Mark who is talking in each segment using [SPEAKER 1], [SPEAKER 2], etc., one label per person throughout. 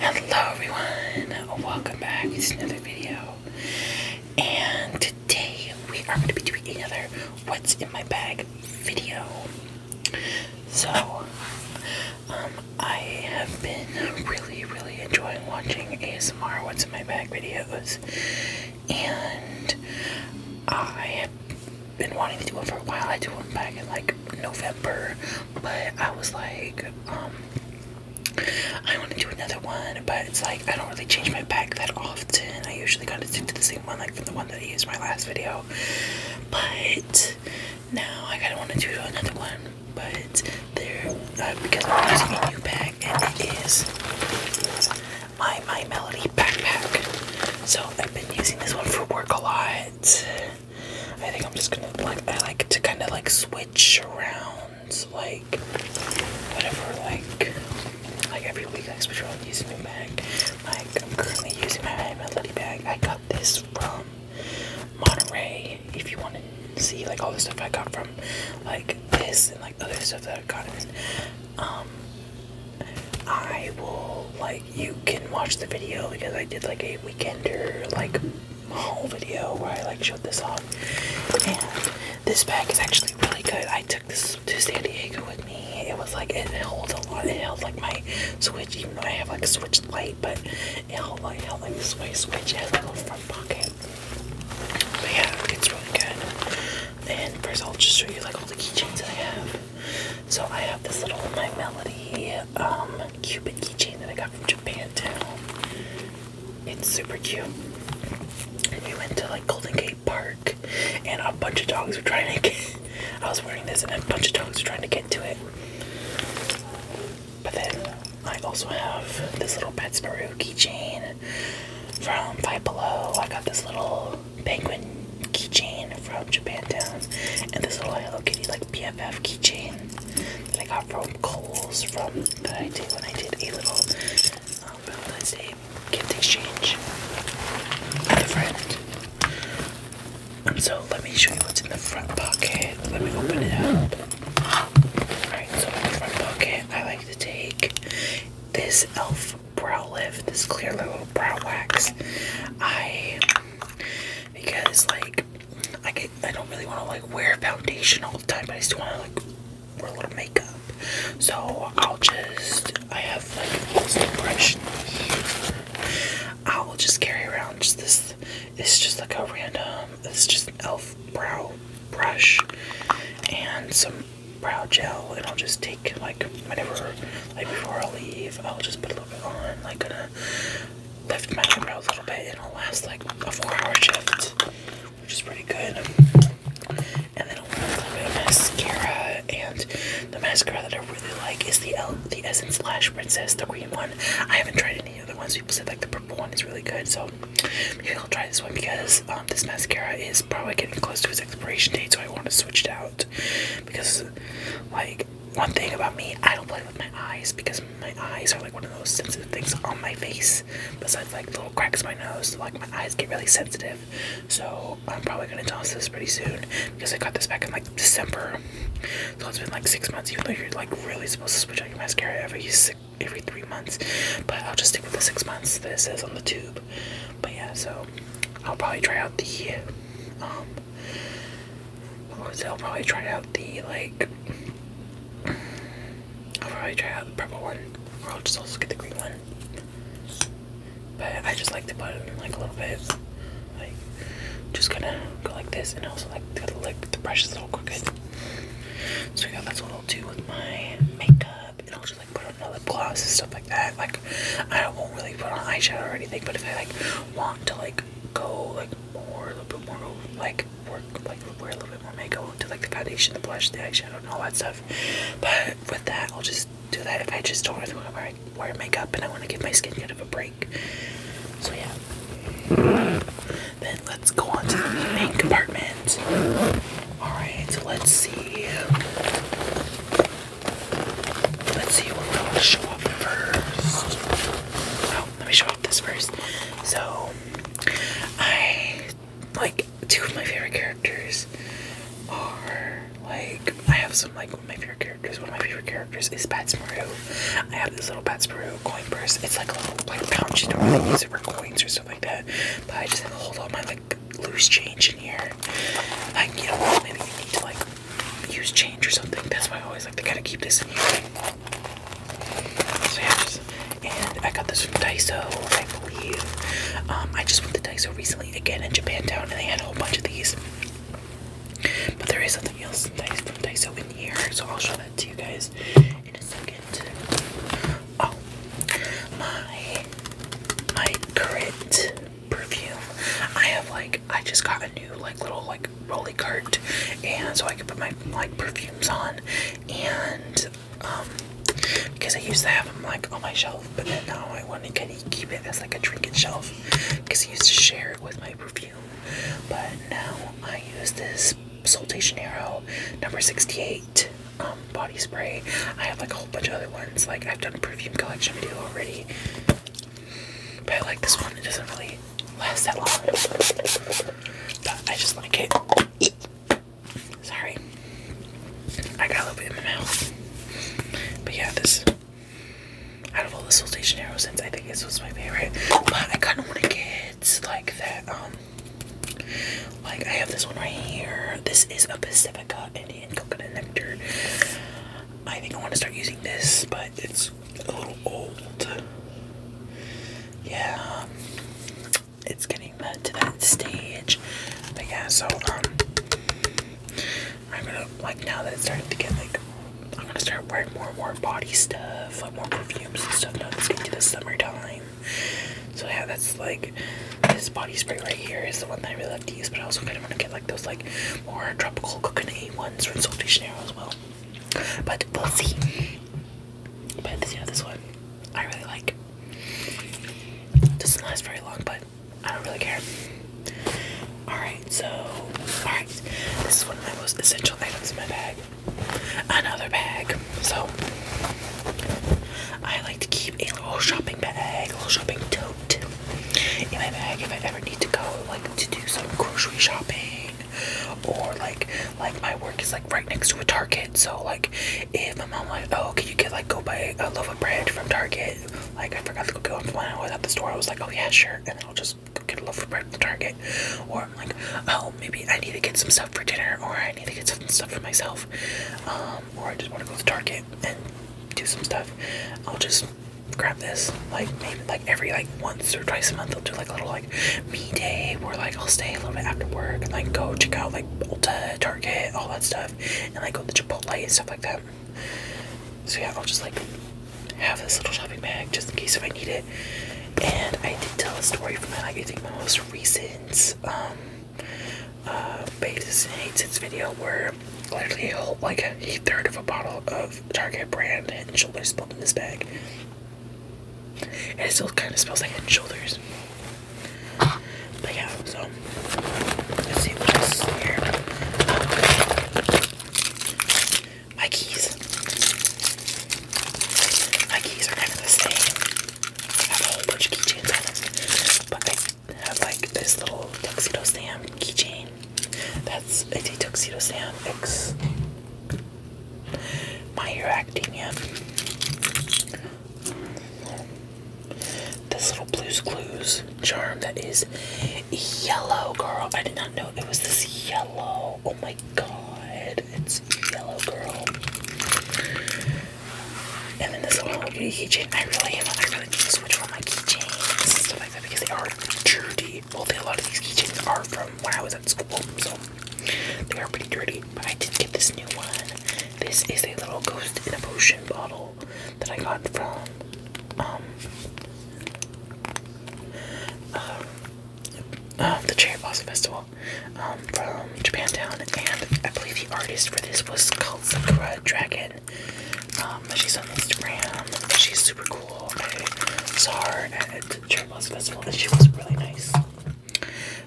[SPEAKER 1] Hello everyone, welcome back. It's another video, and today we are going to be doing another "What's in My Bag" video. So um, I have been really, really enjoying watching ASMR What's in My Bag videos, and I have been wanting to do one for a while. I did one back in like November, but I was like, um, I want to do another one, but it's like I don't really change my bag that often. I usually kind of stick to the same one, like from the one that I used in my last video, but now I kind of want to do another one, but there uh, because I'm using a new pack and it is my My Melody backpack. So I've been using this one for work a lot. I think I'm just gonna like I like to kind of like switch around like whatever like like every week I switch around using new pack. Like I'm currently using my Melody bag. I got this from Monterey. If you want to see like all the stuff I got from like this and like other stuff that I got um, I will like you can watch the video because I did like a weekender like haul video where I like showed this off. And this bag is actually really good. I took this to San Diego with me. It was like it holds a lot. It held like my Switch I have like a switch light, but it held like held like a way switch. It has a little front pocket. But yeah, it's really good. And first I'll just show you like all the keychains that I have. So I have this little My Melody um Cupid keychain that I got from Japan too. It's super cute. And we went to like Golden Gate Park and a bunch of dogs were trying to get I was wearing this and a bunch of dogs were trying to get to it. But then I also have this little Pet Sparrow chain from Five Below. I got this little penguin keychain from Japantown and this little Hello Kitty like PFF keychain that I got from Kohl's from that I when I did a little um, uh, Valentine's Day gift exchange with a friend. So let me show you what's in the front pocket. Let me open it up. Alright, so in the front pocket, I like to take this e.l.f. brow lift, this clear little brow wax. I, because like, I, get, I don't really want to like wear foundation all the time, but I still want to like wear a little makeup. So I'll just, I have like this brush I will just carry around just this. It's just like a random. It's just an elf brow brush and some brow gel, and I'll just take like whenever, like before I leave, I'll just put a little bit on, like gonna lift my eyebrow a little bit, and it'll last like a four-hour shift, which is pretty good. And then I'll put a little bit of mascara, and the mascara that I really like is the El the Essence Slash Princess, the green one. I haven't tried any other ones. People said like the purple one is really good, so maybe I'll try this one because um, this mascara is probably getting close to its expiration date, so I want to switch it out. Because like one thing about me, I don't play with my eyes because my eyes are like one of those sensitive things on my face. Besides like little cracks in my nose, like my eyes get really sensitive. So I'm probably gonna toss this pretty soon because I got this back in like December. So it's been like six months, even though you're like really supposed to switch out your mascara every six, every three months. But I'll just stick with the six months that it says on the tube. But yeah, so I'll probably try out the um I'll probably try out the like I'll probably try out the purple one. Or I'll just also get the green one. But I just like to put it in like a little bit like, just gonna go like this, and also like the, like, the brush is a little quicker. So yeah, that's what I'll do with my makeup, and I'll just like put on a lip gloss and stuff like that. Like, I won't really put on eyeshadow or anything, but if I like want to like go like more a little bit more like work like wear a little bit more makeup, I'll like the foundation, the blush, the eyeshadow, and all that stuff. But with that, I'll just do that if I just don't want to wear I wear makeup and I want to give my skin kind of a break. So yeah. Then let's go on to the main compartment. Alright, let's see. Let's see what we want to show up first. Oh, let me show up this first. So, I like two of my favorite characters are like I have some like one of my favorite characters because one of my favorite characters is Batsmaru. I have this little Batsmaru coin purse. It's like a little like pouch. You don't really use it for coins or stuff like that. But I just have a hold all my like loose change in here. I you know maybe you need to like use change or something. That's why I always like to kind of keep this in here. So yeah, and I got this from Daiso, I believe. Um, I just went to Daiso recently again in Japan town, and they had a whole bunch of these. But there is something else that is from Daiso in here, so I'll show that to you guys in a second. Oh, my my current perfume. I have like I just got a new like little like rolly cart, and so I can put my like perfumes on, and um because I used to have them like on my shelf, but now I want to kind of keep it as like a drinking shelf because I used to share it with my perfume. But now I use this Sol de number 68 um, body spray. I have like a whole bunch of other ones. Like I've done a perfume collection video already. But I like this one. It doesn't really last that long. But I just want like it. Sorry. I got a little bit in my mouth. But yeah, this out of all the Sol de Janeiro I think this was my favorite. But I kind of want to get like that. Um, like I have this one right here. This is a Pacifica Indian Coconut Nectar. I think I want to start using this, but it's a little old. Yeah, it's getting to that stage. yeah, so um, I'm gonna like now that it's starting to get like I'm gonna start wearing more and more body stuff, like more perfumes and stuff now that's getting to the summertime. So yeah, that's like this body spray right here is the one that I really love to use, but I also kinda wanna get like those like more tropical coconut ones from Sol as well. But we'll see. But you know this one I really like. Doesn't last very long, but I don't really care. Alright, so alright. This is one of my most essential items in my bag. Another bag. So I like to keep a little shopping bag, a little shopping tote in my bag if I ever need to go like to do some grocery shopping or like like my work is like right next to a Target so like if my mom like oh can you get like go buy a loaf of bread from Target like I forgot to go get one when I was the store. I was like, oh yeah, sure, and I'll just get a loaf of bread from Target. Or I'm like, oh maybe I need to get some stuff for dinner, or I need to get some stuff for myself, um, or I just want to go to Target and do some stuff. I'll just grab this. Like maybe like every like once or twice a month, I'll do like a little like me day where like I'll stay a little bit after work and like go check out like Ulta, Target, all that stuff, and like go to Chipotle and stuff like that. So yeah, I'll just like have this little shopping bag just in case if I need it. And I did tell a story from my like I think my most recent um uh Babes and Hates video where literally like a third of a bottle of Target brand and shoulders spilled in this bag. And it still kind of smells like head and shoulders. But yeah, so let's see what else is here. Um, my keys. My keys are kind of the same. I have a whole bunch of keychains on them. But I have like this little tuxedo stamp keychain. That's it's a tuxedo stamp X my hero this little Blue's Clues charm that is yellow, girl. I did not know it was this yellow. Oh my god, it's yellow, girl. And then this little keychain. I really am. I really need to switch from my keychains and stuff like that because they are dirty. Well, they, a lot of these keychains are from when I was at school, so they are pretty dirty. But I did get this new one. This is a little ghost in a potion bottle that I got from um, uh, um, the Cherry Blossom Festival um, from Japantown, and I believe the artist for this was called Sakura Dragon. Um, she's on Instagram. She's super cool. I saw her at Cherry Blossom Festival, and she was really nice.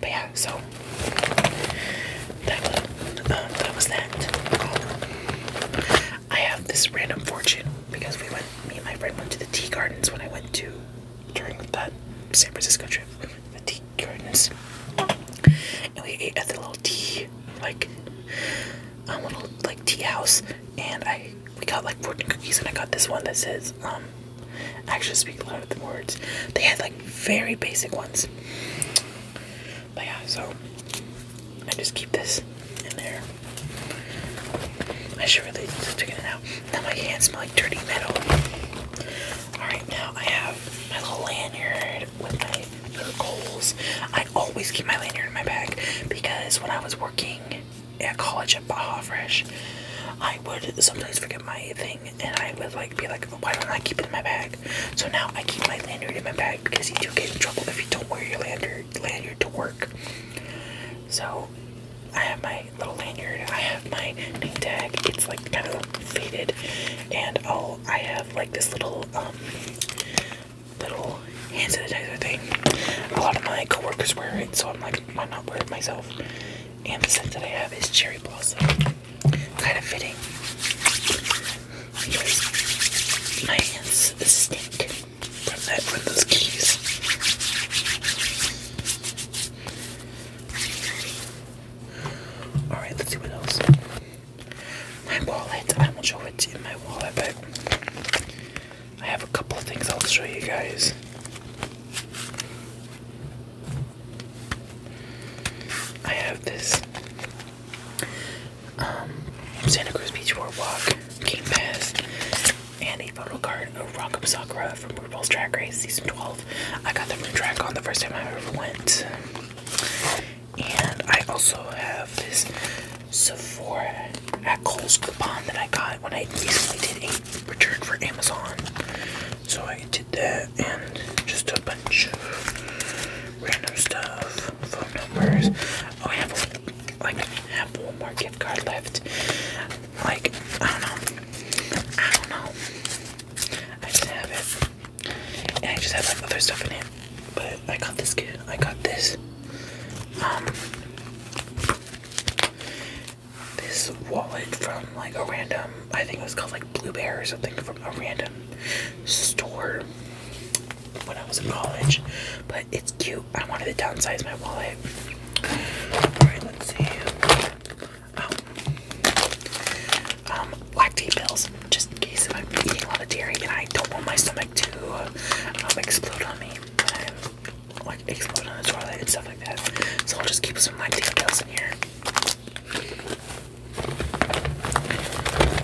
[SPEAKER 1] But yeah, so that, uh, was that. I have this random fortune because we went, me and my friend went to the tea gardens when I went to during that San Francisco trip. The tea gardens, and we ate at the little tea like um, little like tea house, and I we got like fortune cookies, and I got this one that says um. I actually speak a lot of the words. They had like very basic ones. But yeah, so I just keep this in there. I should really just take it out. Now my hands smell like dirty metal. Alright, now I have my little lanyard with my little goals. I always keep my lanyard in my bag because when I was working at college at Baja Fresh, I would sometimes forget my thing and I would like be like, why don't I keep it in my bag? So now I keep my lanyard in my bag because you do get in trouble if you don't wear your lanyard lanyard to work. So I have my little lanyard. I have my name tag. It's like kind of faded, and i oh, I have like this little um little hand sanitizer thing. A lot of my coworkers wear it, so I'm like, why not wear it myself? And the scent that I have is cherry blossom. Kind of fitting. my hands stink from that from those keys. Alright, let's see what else. My wallet. I won't show what's in my wallet, but I have a couple of things I'll show you guys. I have this um, Santa Cruz Beach Boardwalk, King Pass, and a photo card of Rock Rock'em Sakura from RuPaul's Track Race Season 12. I got the from Drag on the first time I ever went. And I also have this Sephora at Kohl's coupon that I got when I recently did a return for Amazon. So I did that and just a bunch of random stuff, phone numbers. Oh, I have like have one more gift card left. Like I don't know, I don't know. I just have it, and I just have like other stuff in here. But I got this kid. I got this. Um, this wallet from like a random. I think it was called like Blue Bear or something from a random store when I was in college. But it's cute. I wanted to downsize my wallet. Alright, let's see. Oh. Um, lactate pills. Just in case I'm eating a lot of dairy and I don't want my stomach to um, explode on me like explode on the toilet and stuff like that. So I'll just keep some lactate pills in here.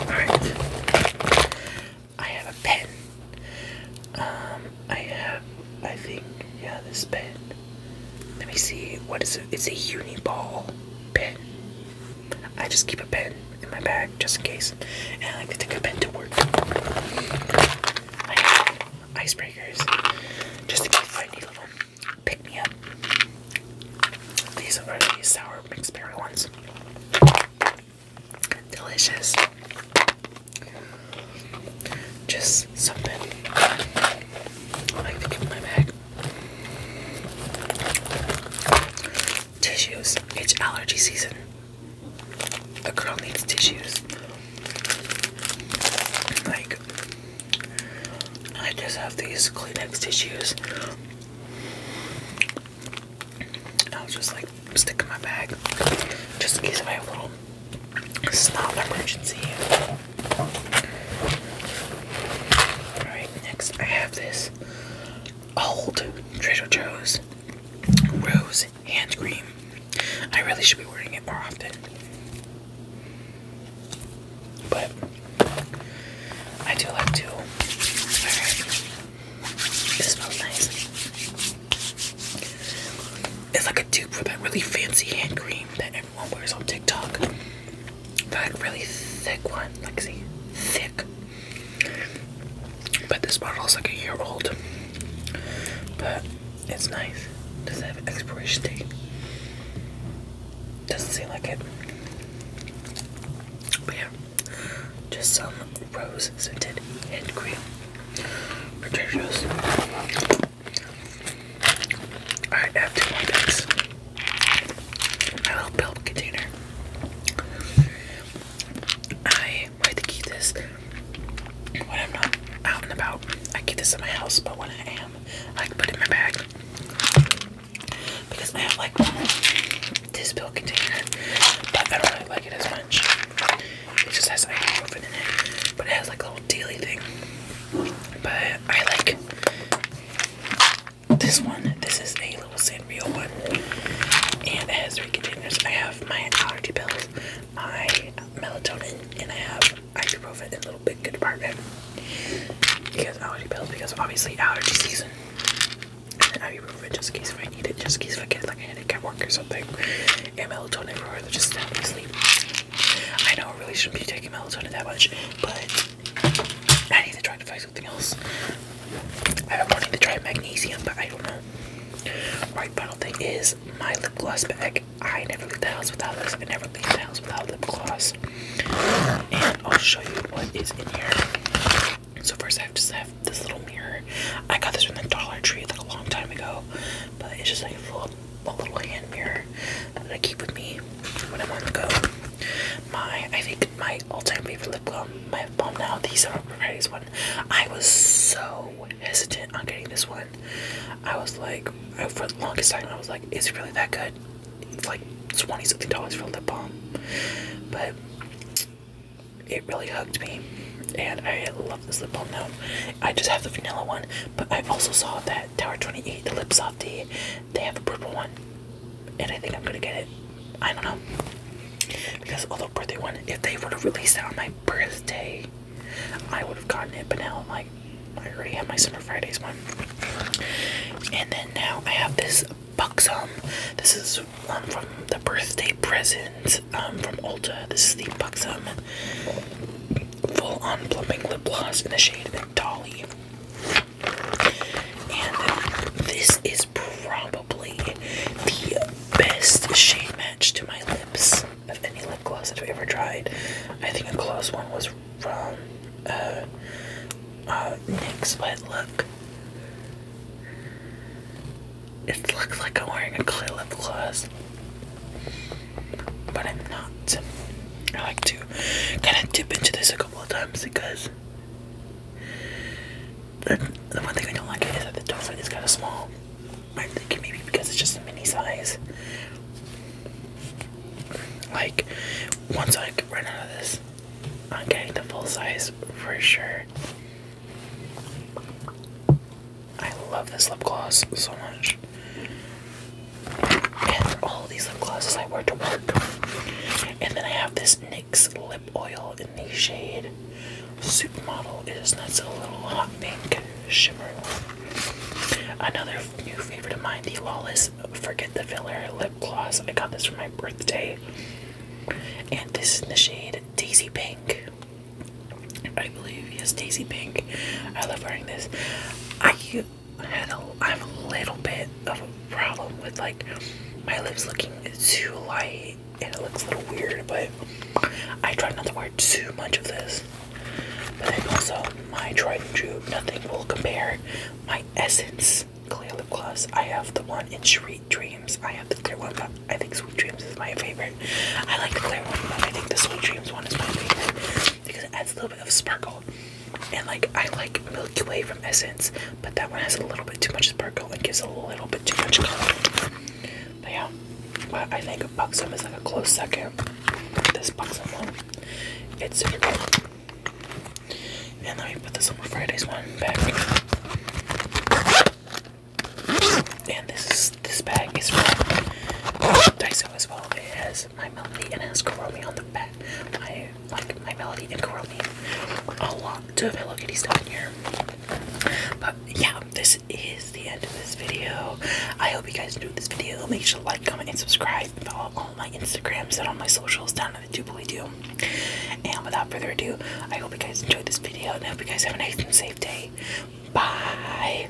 [SPEAKER 1] Alright. I have a pen. Um, I have, I think, yeah, this pen. Let me see, what is it? It's a Uni Ball pen. I just keep a pen in my bag just in case. And I like to take a pen to work. I have icebreakers just in case I need a little pick me up. These are the sour mixed berry ones. Delicious. Just something I like to keep in my bag. Tissues. It's allergy season. A girl needs tissues. Like, I just have these Kleenex tissues i was just like stick in my bag just in case if I have a little snot emergency. Alright, next I have this old Trader Joe's Rose Hand Cream. I really should be wearing it more often. But I do like to. Alright. It smells nice. It's like a dupe for that really fancy hand cream that everyone wears on TikTok. That really thick one. Like, see? Thick. But this bottle is like a year old. But it's nice. Does it have an expiration date? Doesn't seem like it. But yeah, just some rose scented hand cream for Trader's. I have two more bags. My little build container. I like to keep this when I'm not out and about. I keep this in my house, but when I am, I put it in my bag because I have like this pill container, but I don't really like it as much. It just has ibuprofen in it, but it has like a little daily thing. But I like this one. This is a little Sanrio one, and it has three containers. I have my allergy pills, my melatonin, and I have ibuprofen in little big department because allergy pills because obviously allergy season. And then ibuprofen just in case if I need it, just in case if I get like a headache at work or something. And melatonin for just to help me sleep. I know I really shouldn't be taking melatonin that much, but I need to try to find something else. I've been wanting to try magnesium, but I don't know. Right, final thing is my lip gloss bag. I never leave the house without this. I never leave without lip gloss. And I'll show you what is in here. So first I have just have this little mirror. I got this from the Dollar Tree like a long time ago. But it's just like a little, little hand mirror that I keep with me when I'm on the go. My, I think my all-time favorite lip balm, my lip balm now, the Summer Varieties one. I was so hesitant on getting this one. I was like, for the longest time, I was like, is it really that good? like twenty something dollars for a lip balm, but it really hooked me, and I love this lip balm now. I just have the vanilla one, but I also saw that Tower Twenty Eight, the Lip Softy, they have a purple one, and I think I'm gonna get it. I don't know because although birthday one, if they would have released that on my birthday, I would have gotten it. But now I'm like, I already have my Summer Fridays one. And then now I have this Buxom. This is one um, from the birthday present um, from Ulta. This is the Buxom Full On Plumping Lip Gloss in the shade Dolly. And this is probably the best shade match to my lips of any lip gloss I've ever tried. I think a gloss one was from uh, uh, NYX, look. It looks like I'm wearing a clear lip gloss, but I'm not. I like to kind of dip into this a couple of times because the, the one thing I don't like is that the doorway is kind of small. I think maybe because it's just a mini size. Like, once I run out of this, I'm getting the full size for sure. I love this lip gloss so much. And all these lip glosses I wear to work. And then I have this NYX lip oil in the shade Supermodel. It is that's a little hot pink shimmer. Another new favorite of mine, the Lawless Forget the Filler Lip Gloss. I got this for my birthday. And this is the shade Daisy Pink. I believe, yes, Daisy Pink. I love wearing this. I have a little bit of a problem with like my lips looking too light and it looks a little weird, but I try not to wear too much of this. But then also my tried and true, nothing will compare. My Essence Clear Lip Gloss. I have the one in Sweet Dreams. I have the clear one, but I think Sweet Dreams is my favorite. I like the clear one, but I think the Sweet Dreams one is my favorite because it adds a little bit of sparkle. And like I like Milky Way from Essence, but that one has a little bit too much sparkle and gives a little bit too much color. But yeah, I think Buxom is like a close second. This Buxom one. It's And let me put this on my Friday's one back. And this is this bag is from Daiso as well. It has my melody and it on the back. I like my melody and Karomi. A lot of Hello Kitty stuff in here. But yeah, this is the end of this video. I hope you guys enjoyed this video. Make sure to like, comment, and subscribe. follow my Instagrams and all my socials down in the doobly doo. And without further ado, I hope you guys enjoyed this video and hope you guys have a nice and safe day. Bye.